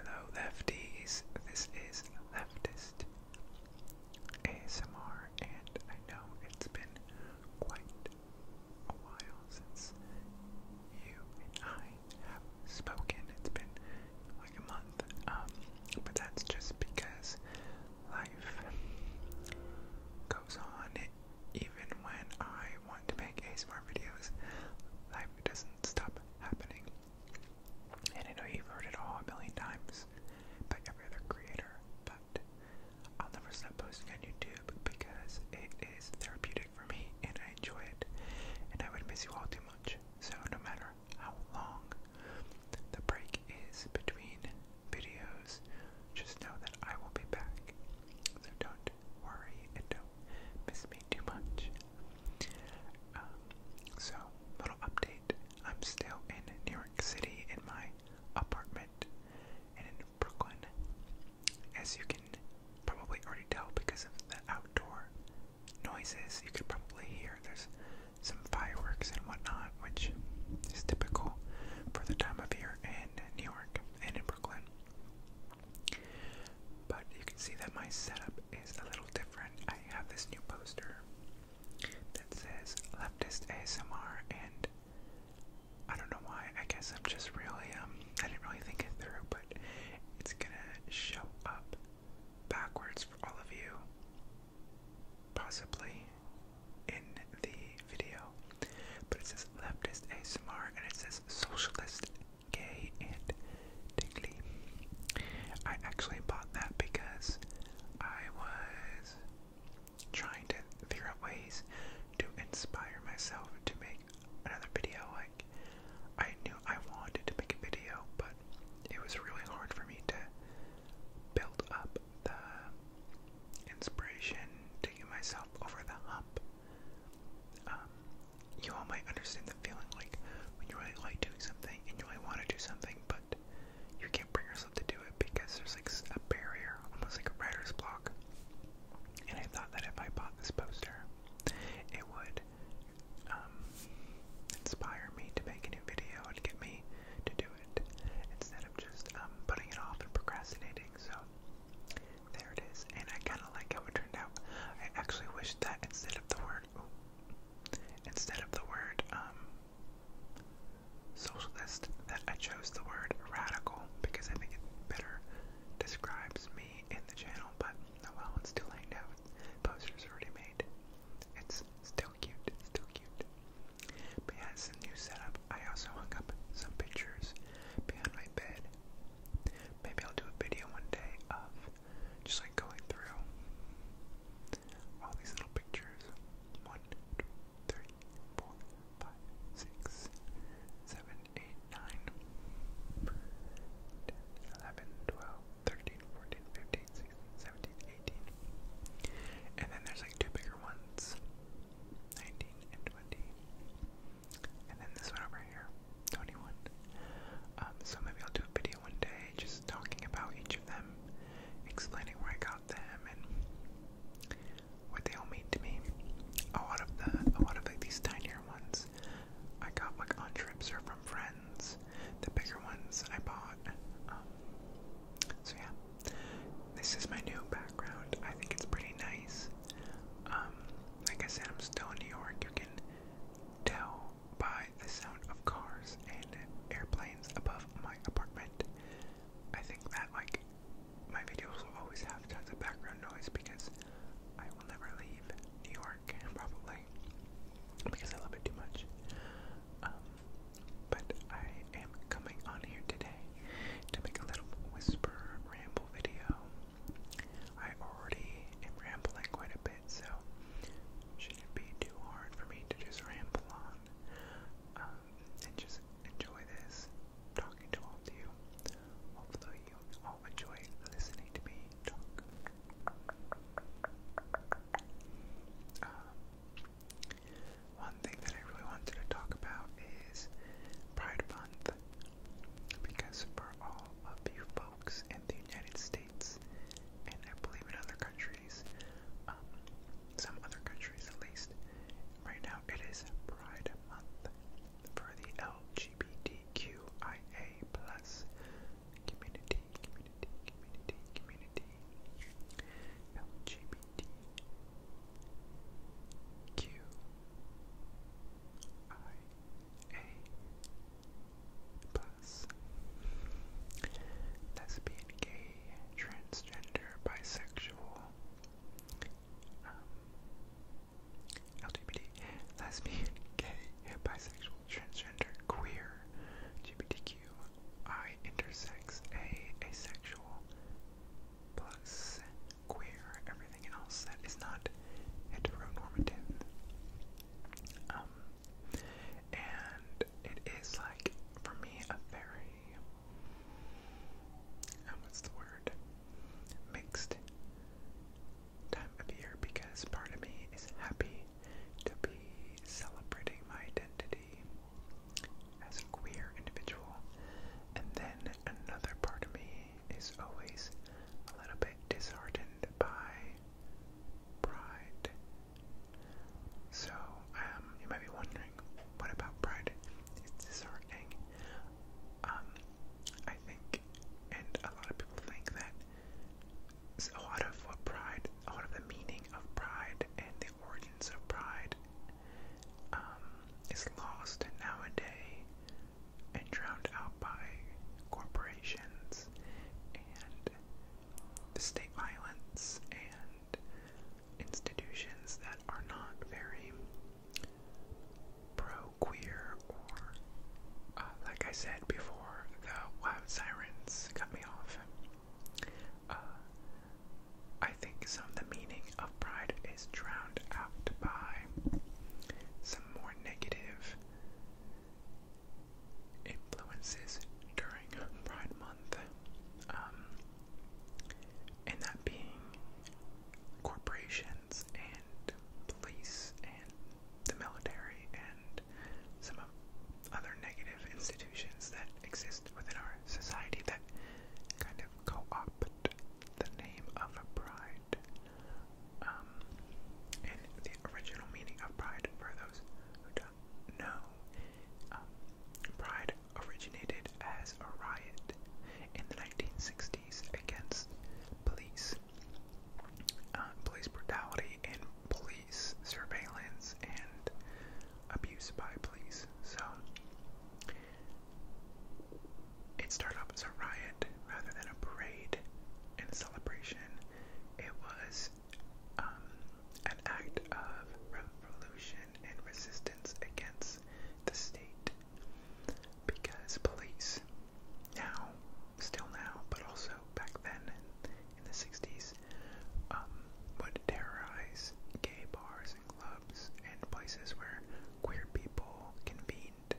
Hello, lefties. This is Leftist ASMR, and I know it's been quite a while since you and I have spoken. It's been like a month, um, but that's just because life goes on. Even when I want to make ASMR videos, life doesn't stop happening. And I know you've heard it all a million times by every other creator, but I'll never stop posting on YouTube because it is therapeutic for me and I enjoy it. And I would miss you all too much. So, no matter how long the break is between videos, just know that I will be back. So, don't worry and don't miss me too much. Um, so, little update. I'm still in New York City in my apartment and in Brooklyn. As you can probably already tell because of the outdoor noises, you could probably hear there's some fireworks and whatnot, which is typical for the time of year in New York and in Brooklyn. But you can see that my setup is a little different. I have this new poster that says leftist ASMR, and I don't know why. I guess I'm just really um I didn't really think it through, but it's gonna show up backwards for all of you, possibly in the video. But it says leftist ASMR and it says socialist Gay and Tingly. I actually bought that because I was trying to figure out ways to inspire myself to make another video. Like, I knew I wanted to make a video, but it was really hard for me to build up the inspiration to get myself over the hump. Um, you all might understand the feeling like when you really like doing something and you really want to do something, but you can't bring yourself to do it because there's like a barrier, almost like a writer's block. And I thought that if I bought this poster, it would um, inspire me to make a new video and get me to do it instead of just um, putting it off and procrastinating. So there it is, and I kind of like how it turned out. I actually wish that instead of the word instead of the word um, socialist, that I chose the word radical because I think it better describes me in the channel. But oh well, it's still laying now. Posters already made. It's still cute. It's still cute. But yeah, it's new setup. I also hung up some pictures behind my bed. Maybe I'll do a video one day of just like going through all these little pictures. One, two, three, four, five, six, seven, eight, nine, ten, eleven, twelve, thirteen, fourteen, fifteen, sixteen, seventeen, eighteen. And then there's like two bigger ones. Nineteen and twenty. And then this one over here. 21. Um, so maybe I'll do a video one day just talking about each of them, explaining where I got them and what they all mean to me. A lot of the, a lot of these tinier ones, I got like on trips or from friends. The bigger ones I bought. Um, so yeah, this is my new background. I think it's pretty nice. Um, like I said, I'm still in New York. You can tell by the sound of cars and airplanes above my apartment. I think that, like, my videos will always have tons of background noise because I will never leave New York, probably, because I love it too much. Um, but I am coming on here today to make a little whisper ramble video. I already am rambling quite a bit so should it be too hard for me to just ramble on um, and just enjoy this talking to all of you. Hopefully, you all enjoy listening to me talk. Um, one thing that I really wanted to talk about is Pride Month because for all of you folks in the United States. States, and I believe in other countries, um, some other countries at least. Right now, it is Pride Month for the LGBTQIA community, community, community, community, LGBTQIA class. Lesbian, gay, transgender, bisexual, um, LGBT, lesbian, gay, bisexual, transgender, queer, GBTQI, intersex, A, asexual, plus queer, everything else that is not heteronormative. Um, and it is like, for me, a very, uh, what's the word? Mixed time of year because part of me is happy to be celebrating my identity as a queer individual, and then another part of me is always a little bit disheartened by Pride. So, um, you might be wondering, what about pride? It's disheartening. Um, I think, and a lot of people think that a lot of what pride, a lot of the meaning of pride and the origins of pride um, is lost nowadays and drowned out by corporations the state violence and institutions that are not very pro queer or, uh, like I said before, the wild sirens cut me off. Uh, I think some of the meaning of pride is drowned out by some more negative influences during Pride Month, um, and that being corporations and police and the military and some other negative institutions that exist within our society that kind of co opt the name of a pride um, the original meaning of pride, for those who don't know, um, pride originated as a riot in the 1960s against police, uh, police brutality, and police surveillance and abuse by police. So it started off as a riot rather than a parade and celebration it was um, an act of revolution and resistance against the state because police, now, still now, but also back then in, the 60s, um, would terrorize gay bars and clubs and places where queer people convened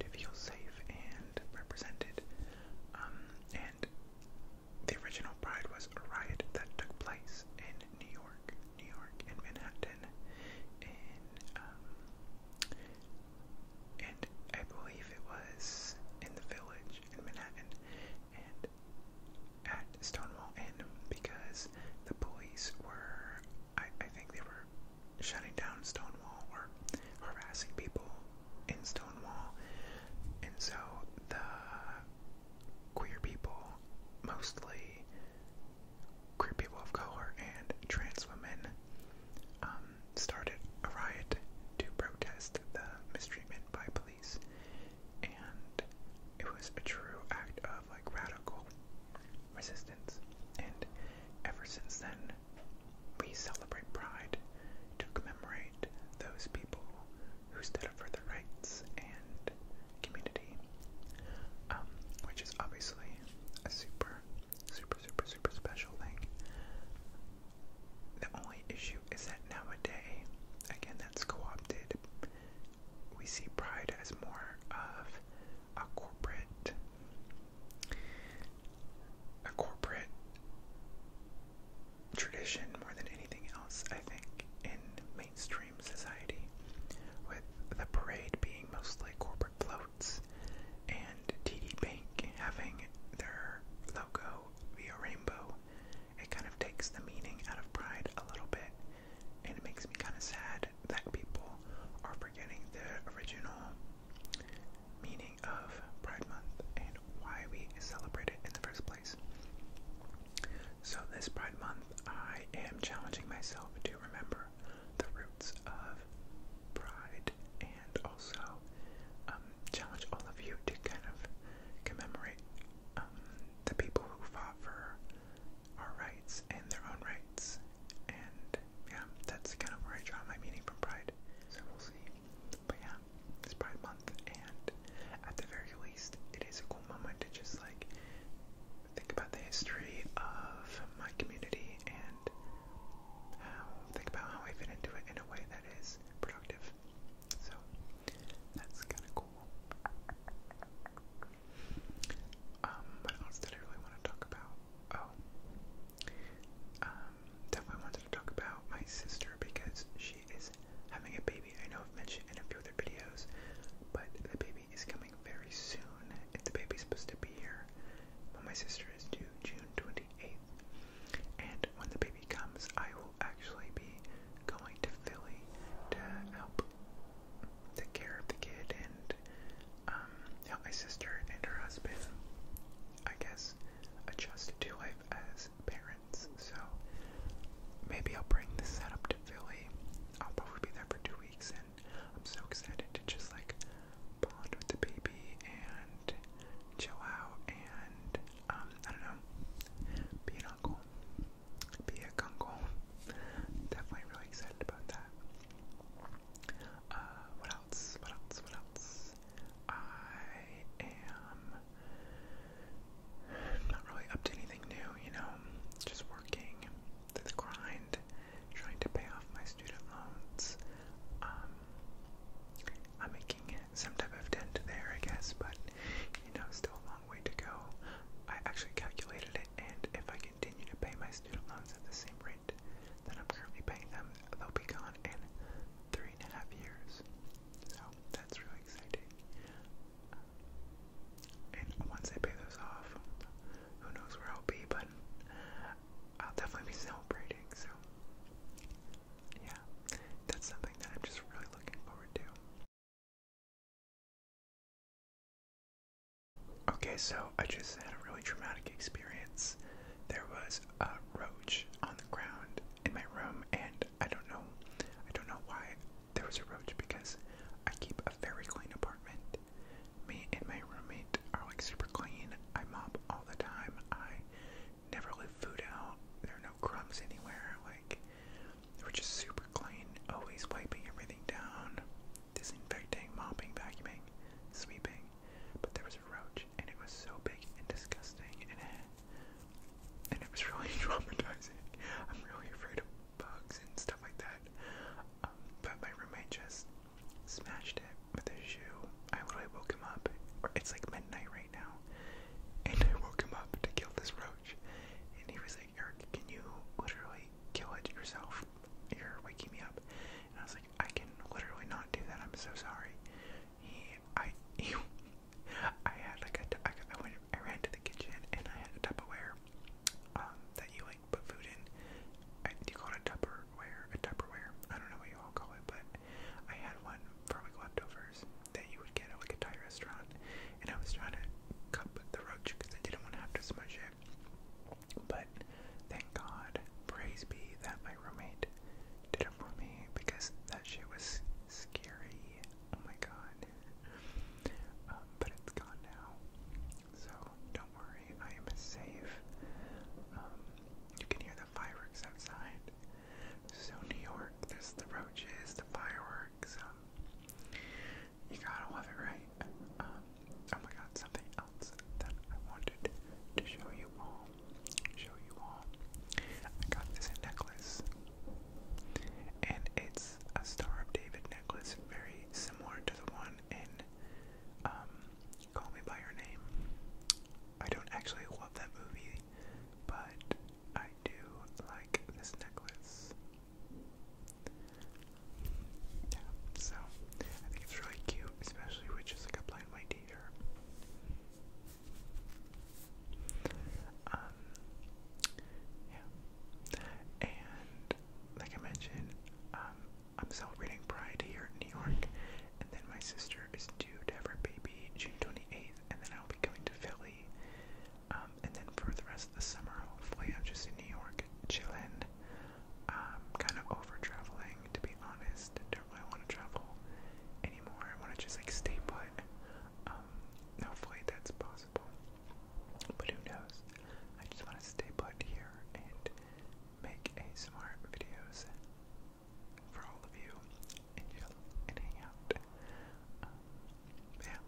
to feel safe and represented. Um, and the original Pride was a riot that took place in New York, New York, and Manhattan, in um, and I believe it was in the Village in Manhattan, and at Stonewall Inn because the police were, I, I think they were shutting down Stonewall or harassing people in Stonewall. And so the queer people, mostly queer people of color and trans women, um, started a riot to protest the mistreatment by police. And it was a true act of like radical resistance. And ever since then, we celebrate Pride to commemorate those people who stood up for their rights and community, um, which is obviously a super, super, super, super special thing. The only issue is that nowadays, again, that's co opted. We see Pride as more of a corporate a corporate tradition more than anything else, I think, in mainstream society, with the parade being mostly corporate floats and TD Bank having their logo be a rainbow. It kind of takes the meaning out of pride a little bit, and it makes me kind of sad that people are forgetting the original meaning of Pride Month and why we celebrate it in the first place. So, this Pride Month, I am challenging myself to remember the roots of pride and also um, challenge all of you to kind of commemorate um, the people who fought for our rights and their own rights. And yeah, that's kind of where I draw my meaning from pride. So, we'll see but yeah, it's Pride Month, and at the very least, it is a cool moment to just like think about the history of my community and think about how I fit into it in a way that is productive. So that's kind of cool. Um, what else did I really want to talk about? Oh. Um, definitely wanted to talk about my sister because she is having a baby. I know I've mentioned in a few other videos, but the baby is coming very soon. If the baby's supposed to be here when my sister is due June 28th. And when the baby comes, I will actually be going to Philly to help take care of the kid and um, help my sister and her husband, I guess, adjusted to life as parents. So maybe I'll bring this setup to Philly. I'll probably be there for two weeks, and I'm so excited to just like bond with the baby and chill out and um I don't know, be an uncle, be a uncle. Definitely really excited about that. Uh, what else? What else? What else? because I am not really up to anything new, you know, just working through the grind, trying to pay off my student loans. Um, I'm making some type of dent there, I guess, but you know, still a long way to go. I actually calculated it, and if I continue to pay my student loans at the same rate, that I'm currently paying them. They'll be gone in three and a half years. So that's really exciting. Uh, and once I pay those off, who knows where I'll be, but I'll definitely be celebrating. So, yeah, that's something that I'm just really looking forward to. Okay, so I just had a really traumatic experience. There was a roach on the ground in my room, and I don't know, I don't know why there was a roach because I keep a very clean apartment. Me and my roommate are like super clean. I mop all the time. I never leave food out. There are no crumbs anywhere. Like we're just super clean. Always wiping everything down, disinfecting, mopping, vacuuming, sweeping but there was a roach, and it was so big and disgusting, and it, and it was really traumatizing. I'm really afraid of bugs and stuff like that. Um, but my roommate just smashed it with his shoe. I literally woke him up. It's like midnight right now, and I woke him up to kill this roach. And he was like, "Eric, can you literally kill it yourself? You're waking me up." And I was like, "I can literally not do that. I'm so sorry." he, I, he, I had like a, I, I went, I ran to the kitchen and I had a Tupperware, um, that you like put food in. do you call it Tupperware? A Tupperware? I don't know what you all call it, but I had one for like leftovers that you would get at like a Thai restaurant, and I was trying to cup the roach because I didn't want to have to smudge it. But thank God, praise be that my roommate did for me because that shit was scary. Oh my god. Um, but it's gone now. So don't worry, I am safe. Um, you can hear the fireworks outside. So, New York, there's the roaches, the fireworks. Um, you gotta love it, right? oh my god, something else that I wanted to show you all show you all. I got this necklace, and it's a Star David necklace, very similar to the one in um, Call Me By Your Name. I don't actually love that movie, but I do like this necklace. Yeah, so I think it's really cute, especially with just like a plain um, yeah. And like I mentioned, um, I'm celebrating Pride here in New York, and then my sister is due to have her baby June 28th, and then I'll be going to Philly. Um, and then for the rest of the summer, hopefully, I'm just in New York, chilling, kind of over traveling, to be honest, why I want to travel anymore. I want to just like stay put. Um, hopefully that's possible. But who knows? I just want to stay put here and make a smart videos for all of you and chill and hang out. Um, yeah.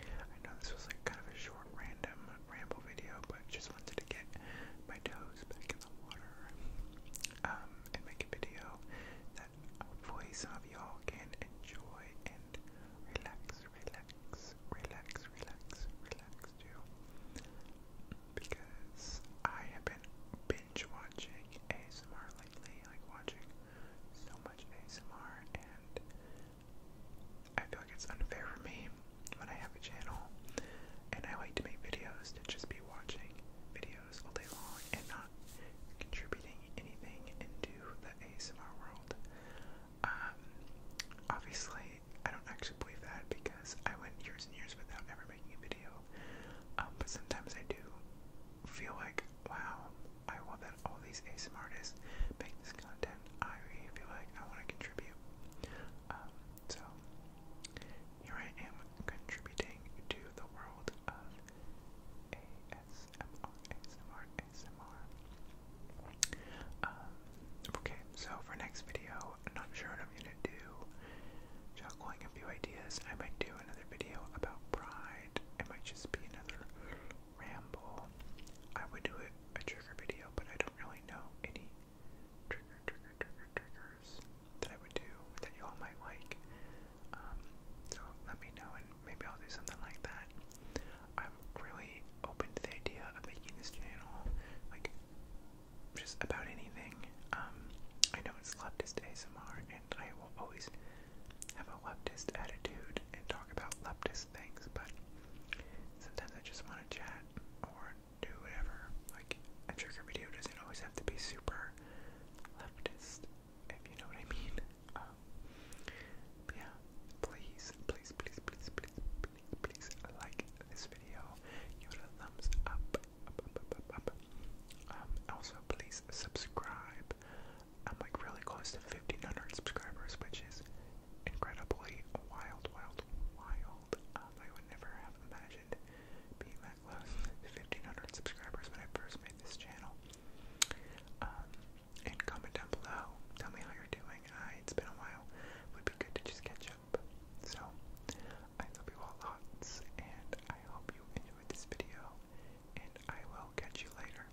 I know this was like kind of a short random ramble video, but just wanted to get my toes back in the water. Um, and make a video that hopefully of y'all can enjoy and relax, relax, relax, relax, relax too. Because I have been binge watching ASMR lately, like watching so much ASMR, and I feel like it's unfair for me when I have a channel and I like to make videos to just be watching videos all day long and not contributing anything into the ASMR world. Um, obviously, I don't actually believe that because I went years and years without ever making a video. Um, but sometimes I do feel like, wow, I want that all these ASMR artists make this content. I really feel like I want to contribute. Um, so, here I am contributing to the world of ASMR, ASMR, ASMR. Um, okay, so for next video, I'm not sure what I'm gonna do. Juggling a few ideas. I might do another video about pride. It might just be another ramble. I would do a, a trigger video, but I don't really know any trigger, trigger, trigger, triggers that I would do that you all might like. Um, so let me know, and maybe I'll do something like that. I'm really open to the idea of making this channel like just about anything. Um, I know it's leftist ASMR, and I will always have a leftist attitude and talk about leftist things, but sometimes I just want to chat or do whatever. Like, a trigger video doesn't always have to be super leftist, if you know what I mean. Um, yeah, please, please, please, please, please, please, please like this video. Give it a thumbs up, um, also, please subscribe. I'm like really close to 1,500 subscribers, which is incredibly wild, wild, wild. I would never have imagined being 1,500 subscribers when I first made this channel. Um, and comment down below, tell me how you're doing. it's been a while. Would be good to just catch up. So, I love you all lots, and I hope you enjoyed this video, and I will catch you later.